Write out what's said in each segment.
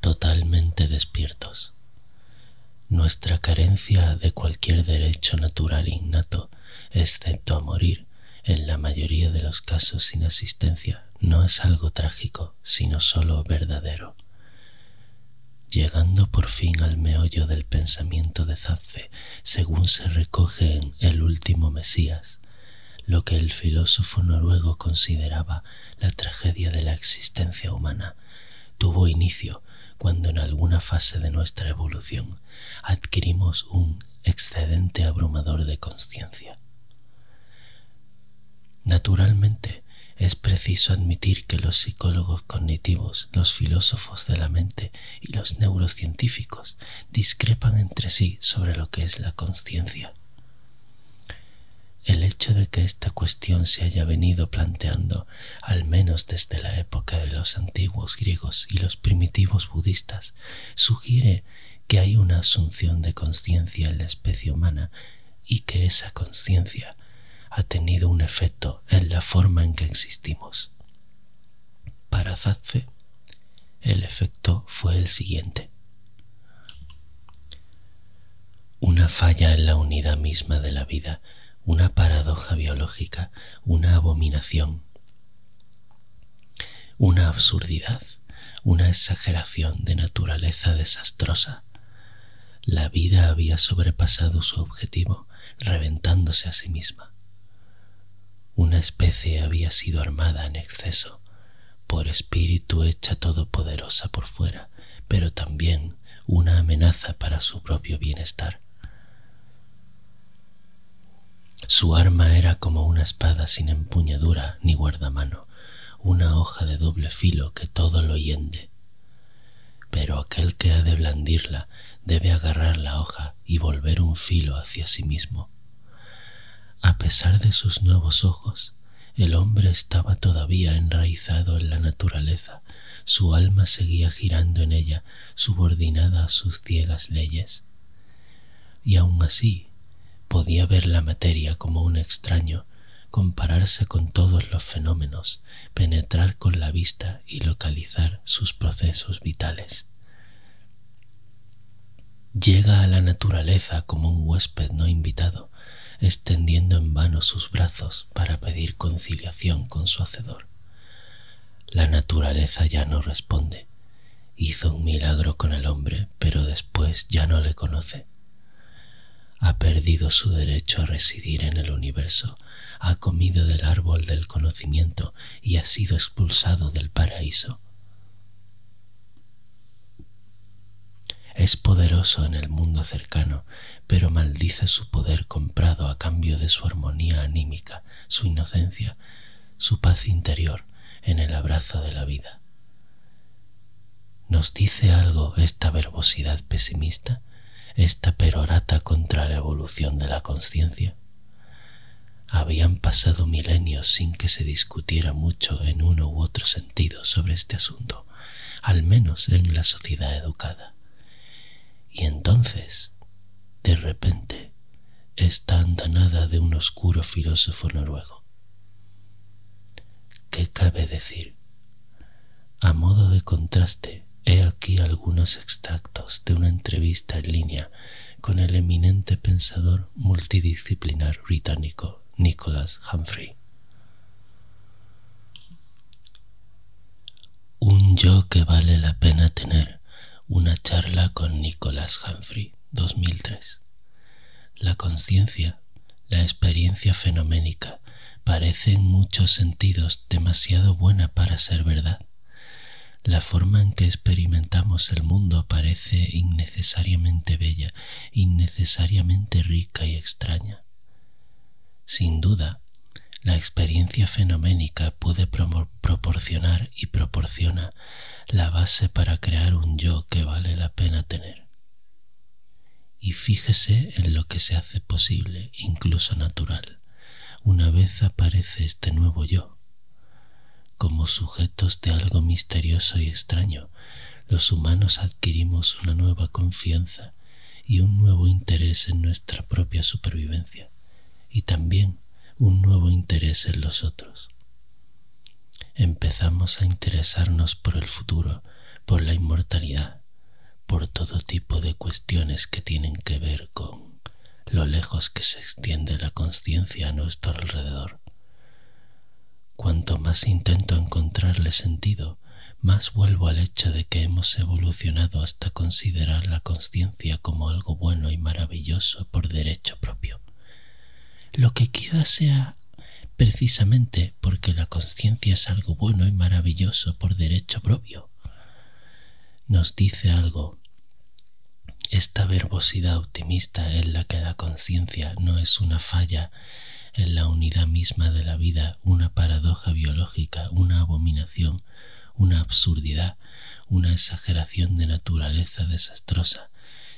totalmente despiertos. Nuestra carencia de cualquier derecho natural innato, excepto a morir, en la mayoría de los casos sin asistencia, no es algo trágico, sino solo verdadero. Llegando por fin al meollo del pensamiento de Zaffe, según se recoge en El último Mesías, lo que el filósofo noruego consideraba la tragedia de la existencia humana, tuvo inicio cuando en alguna fase de nuestra evolución adquirimos un excedente abrumador de conciencia. Naturalmente, es preciso admitir que los psicólogos cognitivos, los filósofos de la mente y los neurocientíficos discrepan entre sí sobre lo que es la conciencia. El hecho de que esta cuestión se haya venido planteando, al menos desde la época de los antiguos griegos y los primitivos budistas, sugiere que hay una asunción de conciencia en la especie humana y que esa conciencia ha tenido un efecto en la forma en que existimos. Para Zadfe, el efecto fue el siguiente. Una falla en la unidad misma de la vida, una paradoja biológica, una abominación, una absurdidad, una exageración de naturaleza desastrosa. La vida había sobrepasado su objetivo, reventándose a sí misma. Una especie había sido armada en exceso, por espíritu hecha todopoderosa por fuera, pero también una amenaza para su propio bienestar. Su arma era como una espada sin empuñadura ni guardamano, una hoja de doble filo que todo lo hiende. Pero aquel que ha de blandirla debe agarrar la hoja y volver un filo hacia sí mismo. A pesar de sus nuevos ojos, el hombre estaba todavía enraizado en la naturaleza, su alma seguía girando en ella, subordinada a sus ciegas leyes. Y aún así, podía ver la materia como un extraño, compararse con todos los fenómenos, penetrar con la vista y localizar sus procesos vitales. Llega a la naturaleza como un huésped no invitado, extendiendo en vano sus brazos para pedir conciliación con su hacedor. La naturaleza ya no responde. Hizo un milagro con el hombre, pero después ya no le conoce. Ha perdido su derecho a residir en el universo, ha comido del árbol del conocimiento y ha sido expulsado del paraíso. Es poderoso en el mundo cercano, pero maldice su poder comprado a cambio de su armonía anímica, su inocencia, su paz interior en el abrazo de la vida. ¿Nos dice algo esta verbosidad pesimista, esta perorata contra la evolución de la conciencia? Habían pasado milenios sin que se discutiera mucho en uno u otro sentido sobre este asunto, al menos en la sociedad educada. Y entonces, de repente, está andanada de un oscuro filósofo noruego. ¿Qué cabe decir? A modo de contraste, he aquí algunos extractos de una entrevista en línea con el eminente pensador multidisciplinar británico Nicholas Humphrey. Un yo que vale la pena tener, una charla con Nicholas Humphrey, 2003. La conciencia, la experiencia fenoménica, parece en muchos sentidos demasiado buena para ser verdad. La forma en que experimentamos el mundo parece innecesariamente bella innecesariamente rica y extraña. Sin duda, la experiencia fenoménica puede proporcionar y proporciona la base para crear un yo que vale la pena tener. Y fíjese en lo que se hace posible, incluso natural, una vez aparece este nuevo yo, como sujetos de algo misterioso y extraño, los humanos adquirimos una nueva confianza y un nuevo interés en nuestra propia supervivencia y también un nuevo interés en los otros. Empezamos a interesarnos por el futuro, por la inmortalidad, por todo tipo de cuestiones que tienen que ver con lo lejos que se extiende la conciencia a nuestro alrededor, Cuanto más intento encontrarle sentido, más vuelvo al hecho de que hemos evolucionado hasta considerar la conciencia como algo bueno y maravilloso por derecho propio. Lo que quizá sea precisamente porque la conciencia es algo bueno y maravilloso por derecho propio. Nos dice algo esta verbosidad optimista en la que la conciencia no es una falla en la unidad misma de la vida, una paradoja biológica, una abominación, una absurdidad, una exageración de naturaleza desastrosa,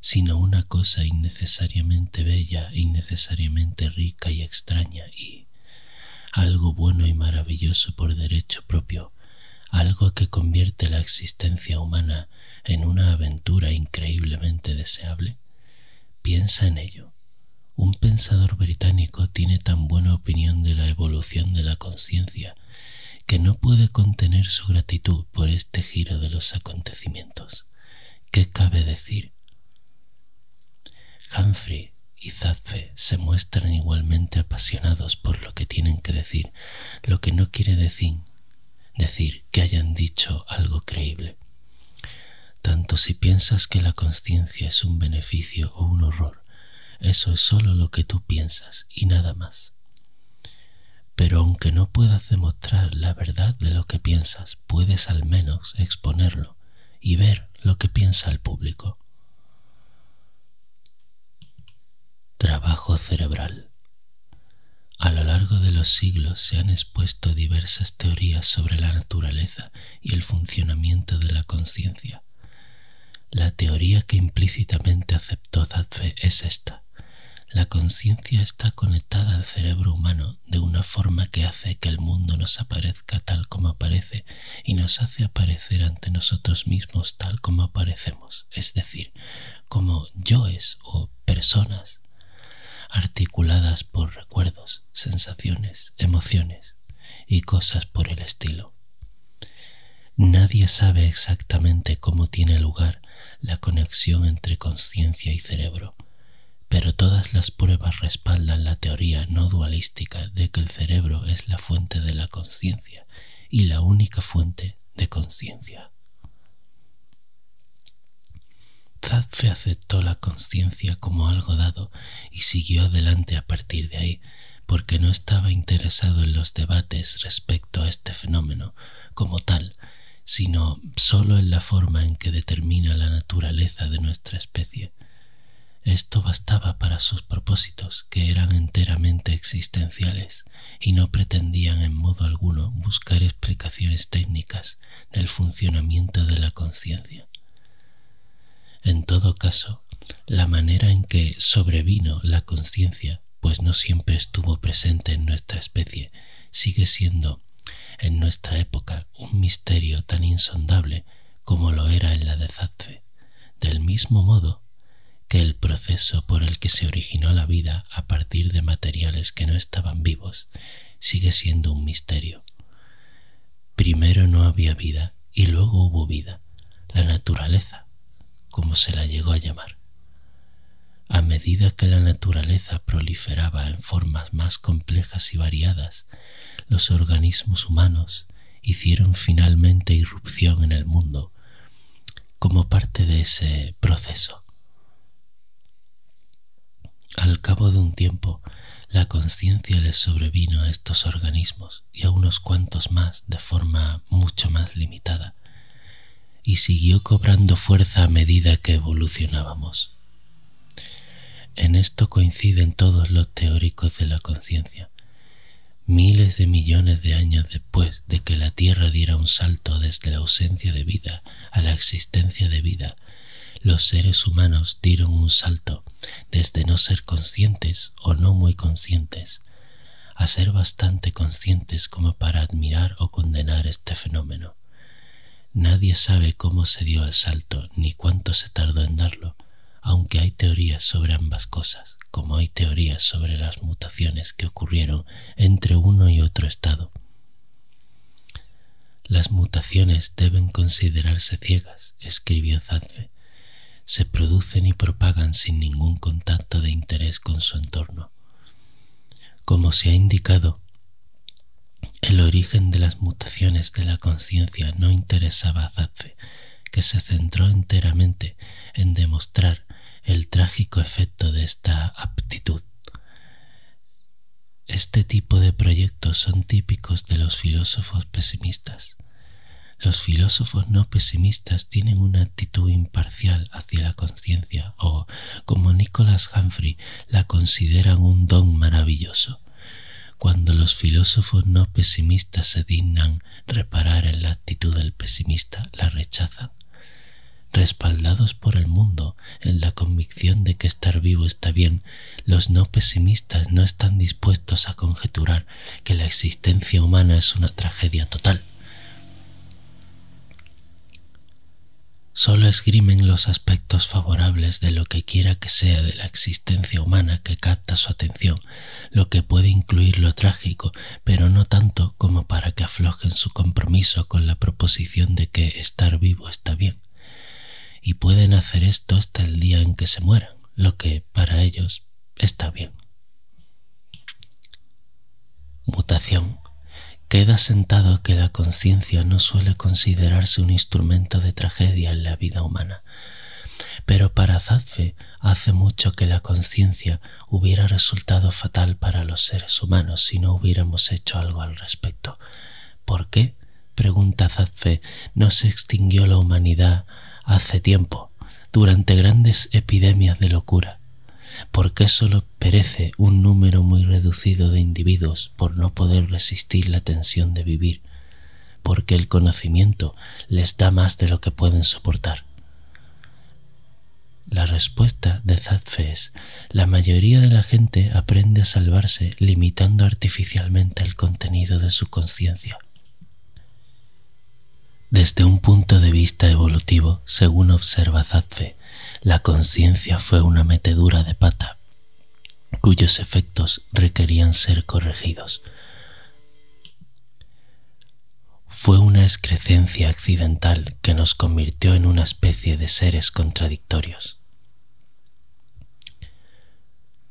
sino una cosa innecesariamente bella, innecesariamente rica y extraña y algo bueno y maravilloso por derecho propio, algo que convierte la existencia humana en una aventura increíblemente deseable? Piensa en ello. Un pensador británico tiene tan buena opinión de la evolución de la conciencia que no puede contener su gratitud por este giro de los acontecimientos. ¿Qué cabe decir? Humphrey y Zadfe se muestran igualmente apasionados por lo que tienen que decir, lo que no quiere decir, decir que hayan dicho algo creíble. Tanto si piensas que la conciencia es un beneficio o un horror, eso es solo lo que tú piensas y nada más. Pero aunque no puedas demostrar la verdad de lo que piensas, puedes al menos exponerlo y ver lo que piensa el público. Trabajo cerebral. A lo largo de los siglos se han expuesto diversas teorías sobre la naturaleza y el funcionamiento de la conciencia. La teoría que implícitamente aceptó Zadfe es esta. La conciencia está conectada al cerebro humano de una forma que hace que el mundo nos aparezca tal como aparece y nos hace aparecer ante nosotros mismos tal como aparecemos, es decir, como yo es, o personas articuladas por recuerdos, sensaciones, emociones y cosas por el estilo. Nadie sabe exactamente cómo tiene lugar la conexión entre conciencia y cerebro, pero todas las pruebas respaldan la teoría no dualística de que el cerebro es la fuente de la conciencia y la única fuente de conciencia. Zadfe aceptó la conciencia como algo dado y siguió adelante a partir de ahí, porque no estaba interesado en los debates respecto a este fenómeno como tal, sino solo en la forma en que determina la naturaleza de nuestra especie. Esto bastaba para sus propósitos, que eran enteramente existenciales y no pretendían en modo alguno buscar explicaciones técnicas del funcionamiento de la conciencia. En todo caso, la manera en que sobrevino la conciencia, pues no siempre estuvo presente en nuestra especie, sigue siendo en nuestra época un misterio tan insondable como lo era en la de Zadfe. Del mismo modo que el proceso por el que se originó la vida a partir de materiales que no estaban vivos sigue siendo un misterio. Primero no había vida y luego hubo vida, la naturaleza, como se la llegó a llamar. A medida que la naturaleza proliferaba en formas más complejas y variadas, los organismos humanos hicieron finalmente irrupción en el mundo como parte de ese proceso. Al cabo de un tiempo, la conciencia les sobrevino a estos organismos y a unos cuantos más de forma mucho más limitada, y siguió cobrando fuerza a medida que evolucionábamos. En esto coinciden todos los teóricos de la conciencia, miles de millones de años después de que la Tierra diera un salto desde la ausencia de vida a la existencia de vida, los seres humanos dieron un salto desde no ser conscientes o no muy conscientes a ser bastante conscientes como para admirar o condenar este fenómeno. Nadie sabe cómo se dio el salto ni cuánto se tardó en darlo, aunque hay teorías sobre ambas cosas como hay teorías sobre las mutaciones que ocurrieron entre uno y otro estado. Las mutaciones deben considerarse ciegas, escribió Zadfe. Se producen y propagan sin ningún contacto de interés con su entorno. Como se ha indicado, el origen de las mutaciones de la conciencia no interesaba a Zadfe, que se centró enteramente en demostrar el trágico efecto de esta aptitud. Este tipo de proyectos son típicos de los filósofos pesimistas. Los filósofos no pesimistas tienen una actitud imparcial hacia la conciencia o, como Nicholas Humphrey, la consideran un don maravilloso. Cuando los filósofos no pesimistas se dignan reparar en la actitud del pesimista, la rechazan respaldados por el mundo en la convicción de que estar vivo está bien, los no pesimistas no están dispuestos a conjeturar que la existencia humana es una tragedia total. Solo esgrimen los aspectos favorables de lo que quiera que sea de la existencia humana que capta su atención lo que puede incluir lo trágico, pero no tanto como para que aflojen su compromiso con la proposición de que estar vivo está bien. Y pueden hacer esto hasta el día en que se mueran, lo que para ellos está bien. Mutación. Queda sentado que la conciencia no suele considerarse un instrumento de tragedia en la vida humana. Pero para Zadfe hace mucho que la conciencia hubiera resultado fatal para los seres humanos si no hubiéramos hecho algo al respecto. ¿Por qué? pregunta Zadfe, no se extinguió la humanidad hace tiempo, durante grandes epidemias de locura. ¿Por qué solo perece un número muy reducido de individuos por no poder resistir la tensión de vivir? Porque el conocimiento les da más de lo que pueden soportar. La respuesta de Zadfe es, la mayoría de la gente aprende a salvarse limitando artificialmente el contenido de su conciencia. Desde un punto de vista evolutivo, según observa Zadfe, la conciencia fue una metedura de pata, cuyos efectos requerían ser corregidos fue una excrescencia accidental que nos convirtió en una especie de seres contradictorios.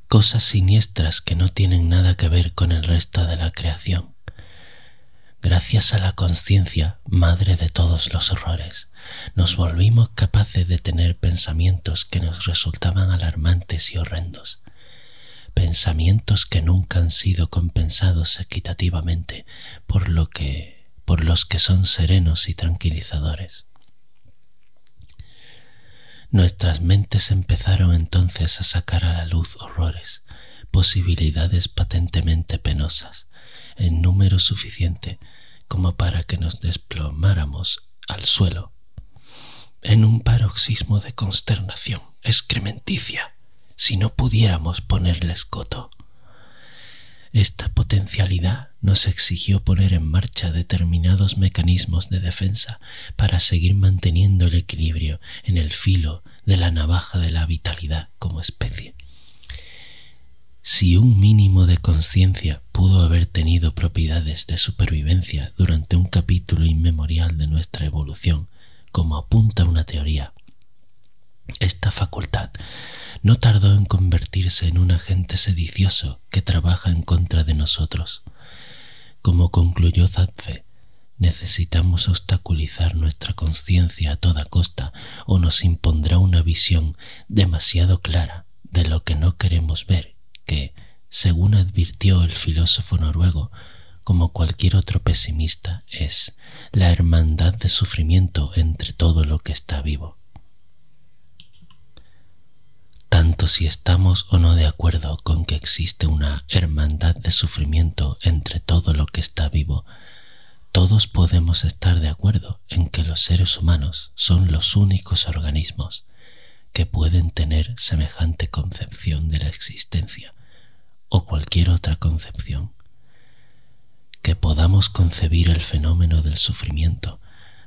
Cosas siniestras que no tienen nada que ver con el resto de la creación, gracias a la conciencia, madre de todos los horrores, nos volvimos capaces de tener pensamientos que nos resultaban alarmantes y horrendos, pensamientos que nunca han sido compensados equitativamente por lo que por los que son serenos y tranquilizadores. Nuestras mentes empezaron entonces a sacar a la luz horrores, posibilidades patentemente penosas, en número suficiente como para que nos desplomáramos al suelo, en un paroxismo de consternación excrementicia si no pudiéramos ponerles coto. Esta potencialidad nos exigió poner en marcha determinados mecanismos de defensa para seguir manteniendo el equilibrio en el filo de la navaja de la vitalidad como especie. Si un mínimo de conciencia pudo haber tenido propiedades de supervivencia durante un capítulo inmemorial de nuestra evolución, como apunta una teoría. Esta facultad no tardó en convertirse en un agente sedicioso que trabaja en contra de nosotros. Como concluyó Zadfe, necesitamos obstaculizar nuestra conciencia a toda costa o nos impondrá una visión demasiado clara de lo que no queremos ver, que, según advirtió el filósofo noruego, como cualquier otro pesimista, es la hermandad de sufrimiento entre todo lo que está vivo. Tanto si estamos o no de acuerdo con que existe una hermandad de sufrimiento entre todo lo que está vivo, todos podemos estar de acuerdo en que los seres humanos son los únicos organismos que pueden tener semejante concepción de la existencia, o cualquier otra concepción. Que podamos concebir el fenómeno del sufrimiento,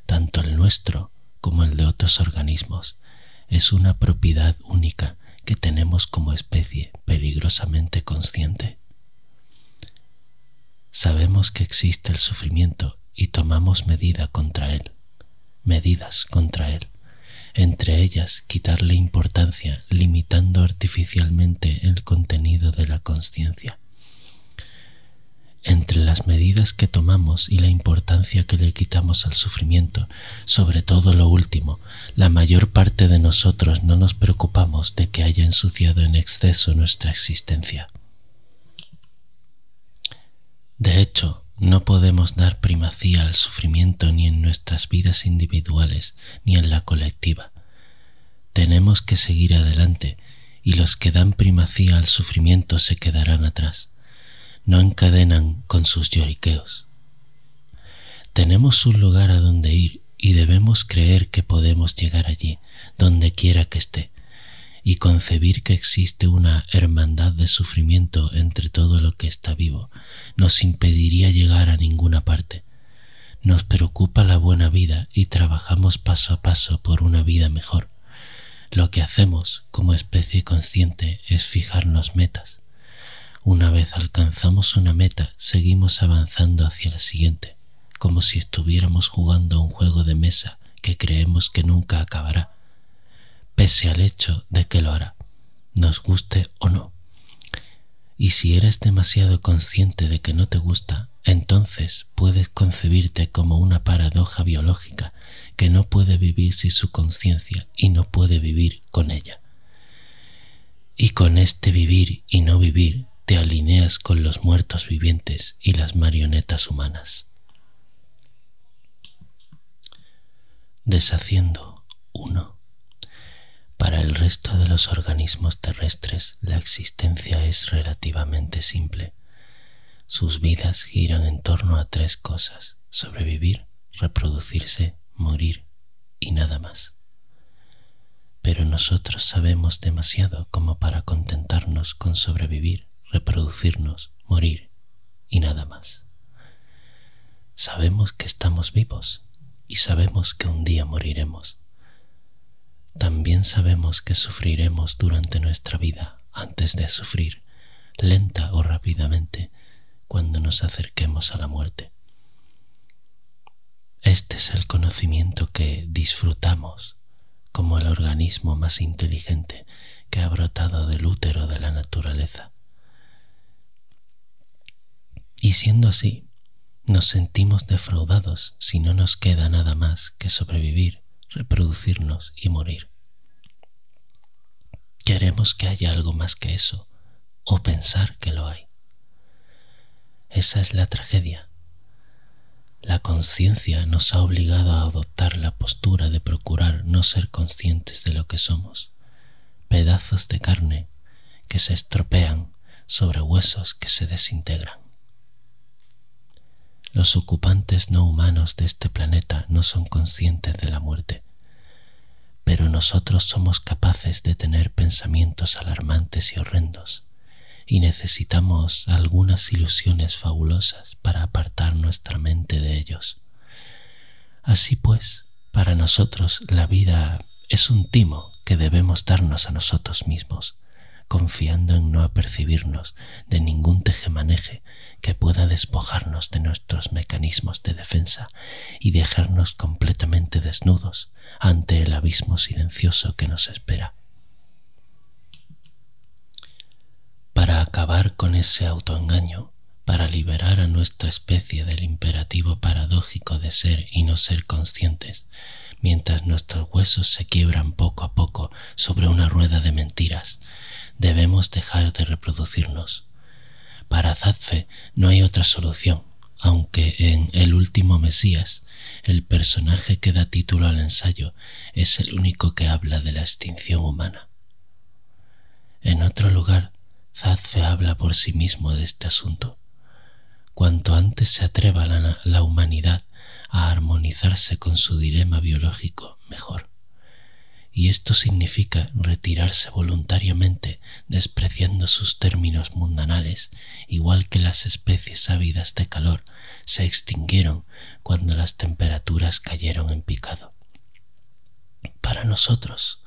tanto el nuestro como el de otros organismos, es una propiedad única que tenemos como especie peligrosamente consciente. Sabemos que existe el sufrimiento y tomamos medida contra él, medidas contra él, entre ellas quitarle importancia limitando artificialmente el contenido de la conciencia. Entre las medidas que tomamos y la importancia que le quitamos al sufrimiento, sobre todo lo último, la mayor parte de nosotros no nos preocupamos de que haya ensuciado en exceso nuestra existencia. De hecho, no podemos dar primacía al sufrimiento ni en nuestras vidas individuales ni en la colectiva. Tenemos que seguir adelante y los que dan primacía al sufrimiento se quedarán atrás. No encadenan con sus lloriqueos. Tenemos un lugar a donde ir y debemos creer que podemos llegar allí, donde quiera que esté, y concebir que existe una hermandad de sufrimiento entre todo lo que está vivo, nos impediría llegar a ninguna parte. Nos preocupa la buena vida y trabajamos paso a paso por una vida mejor. Lo que hacemos como especie consciente es fijarnos metas. Una vez alcanzamos una meta, seguimos avanzando hacia la siguiente, como si estuviéramos jugando un juego de mesa que creemos que nunca acabará, pese al hecho de que lo hará, nos guste o no. Y si eres demasiado consciente de que no te gusta, entonces puedes concebirte como una paradoja biológica que no puede vivir sin su conciencia y no puede vivir con ella. Y con este vivir y no vivir te alineas con los muertos vivientes y las marionetas humanas deshaciendo 1 Para el resto de los organismos terrestres la existencia es relativamente simple. Sus vidas giran en torno a tres cosas, sobrevivir, reproducirse, morir y nada más. Pero nosotros sabemos demasiado como para contentarnos con sobrevivir, reproducirnos, morir y nada más. Sabemos que estamos vivos y sabemos que un día moriremos. También sabemos que sufriremos durante nuestra vida antes de sufrir, lenta o rápidamente, cuando nos acerquemos a la muerte. Este es el conocimiento que disfrutamos como el organismo más inteligente que ha brotado del útero de la naturaleza y siendo así, nos sentimos defraudados si no nos queda nada más que sobrevivir, reproducirnos y morir. Queremos que haya algo más que eso, o pensar que lo hay. Esa es la tragedia. La conciencia nos ha obligado a adoptar la postura de procurar no ser conscientes de lo que somos pedazos de carne que se estropean sobre huesos que se desintegran. Los ocupantes no humanos de este planeta no son conscientes de la muerte, pero nosotros somos capaces de tener pensamientos alarmantes y horrendos, y necesitamos algunas ilusiones fabulosas para apartar nuestra mente de ellos. Así pues, para nosotros la vida es un timo que debemos darnos a nosotros mismos, confiando en no apercibirnos de ningún tejemaneje que pueda despojarnos de nuestros mecanismos de defensa y dejarnos completamente desnudos ante el abismo silencioso que nos espera para acabar con ese autoengaño, para liberar a nuestra especie del imperativo paradójico de ser y no ser conscientes, mientras nuestros huesos se quiebran poco a poco sobre una rueda de mentiras, debemos dejar de reproducirnos. Para Zadfe no hay otra solución, aunque en El último Mesías el personaje que da título al ensayo es el único que habla de la extinción humana. En otro lugar, Zadfe habla por sí mismo de este asunto. Cuanto antes se atreva la humanidad a armonizarse con su dilema biológico, mejor. Y esto significa retirarse voluntariamente despreciando sus términos mundanales, igual que las especies ávidas de calor se extinguieron cuando las temperaturas cayeron en picado. Para nosotros,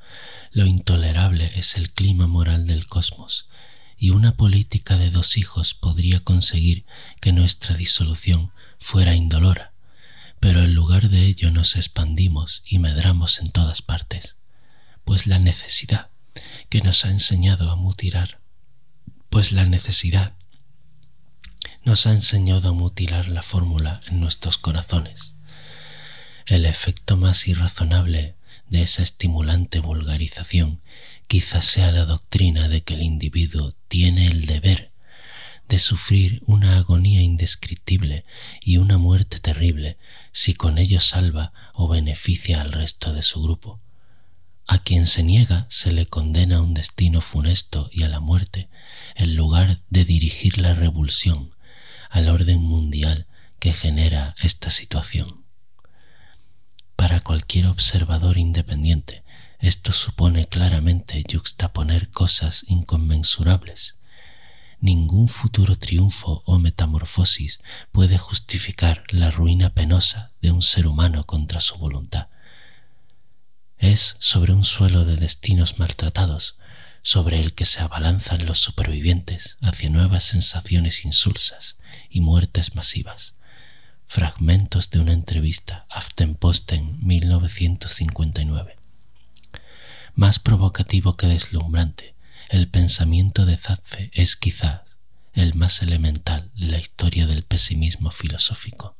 lo intolerable es el clima moral del cosmos, y una política de dos hijos podría conseguir que nuestra disolución fuera indolora, pero en lugar de ello nos expandimos y medramos en todas partes, pues la necesidad que nos ha enseñado a mutirar, pues la necesidad nos ha enseñado a mutilar la fórmula en nuestros corazones. El efecto más irrazonable de esa estimulante vulgarización quizás sea la doctrina de que el individuo tiene el deber de sufrir una agonía indescriptible y una muerte terrible si con ello salva o beneficia al resto de su grupo. A quien se niega se le condena a un destino funesto y a la muerte en lugar de dirigir la revulsión al orden mundial que genera esta situación. Para cualquier observador independiente, esto supone claramente yuxtaponer cosas inconmensurables. Ningún futuro triunfo o metamorfosis puede justificar la ruina penosa de un ser humano contra su voluntad. Es sobre un suelo de destinos maltratados, sobre el que se abalanzan los supervivientes hacia nuevas sensaciones insulsas y muertes masivas. Fragmentos de una entrevista Aftenposten 1959. Más provocativo que deslumbrante, el pensamiento de Zadfe es quizás el más elemental de la historia del pesimismo filosófico.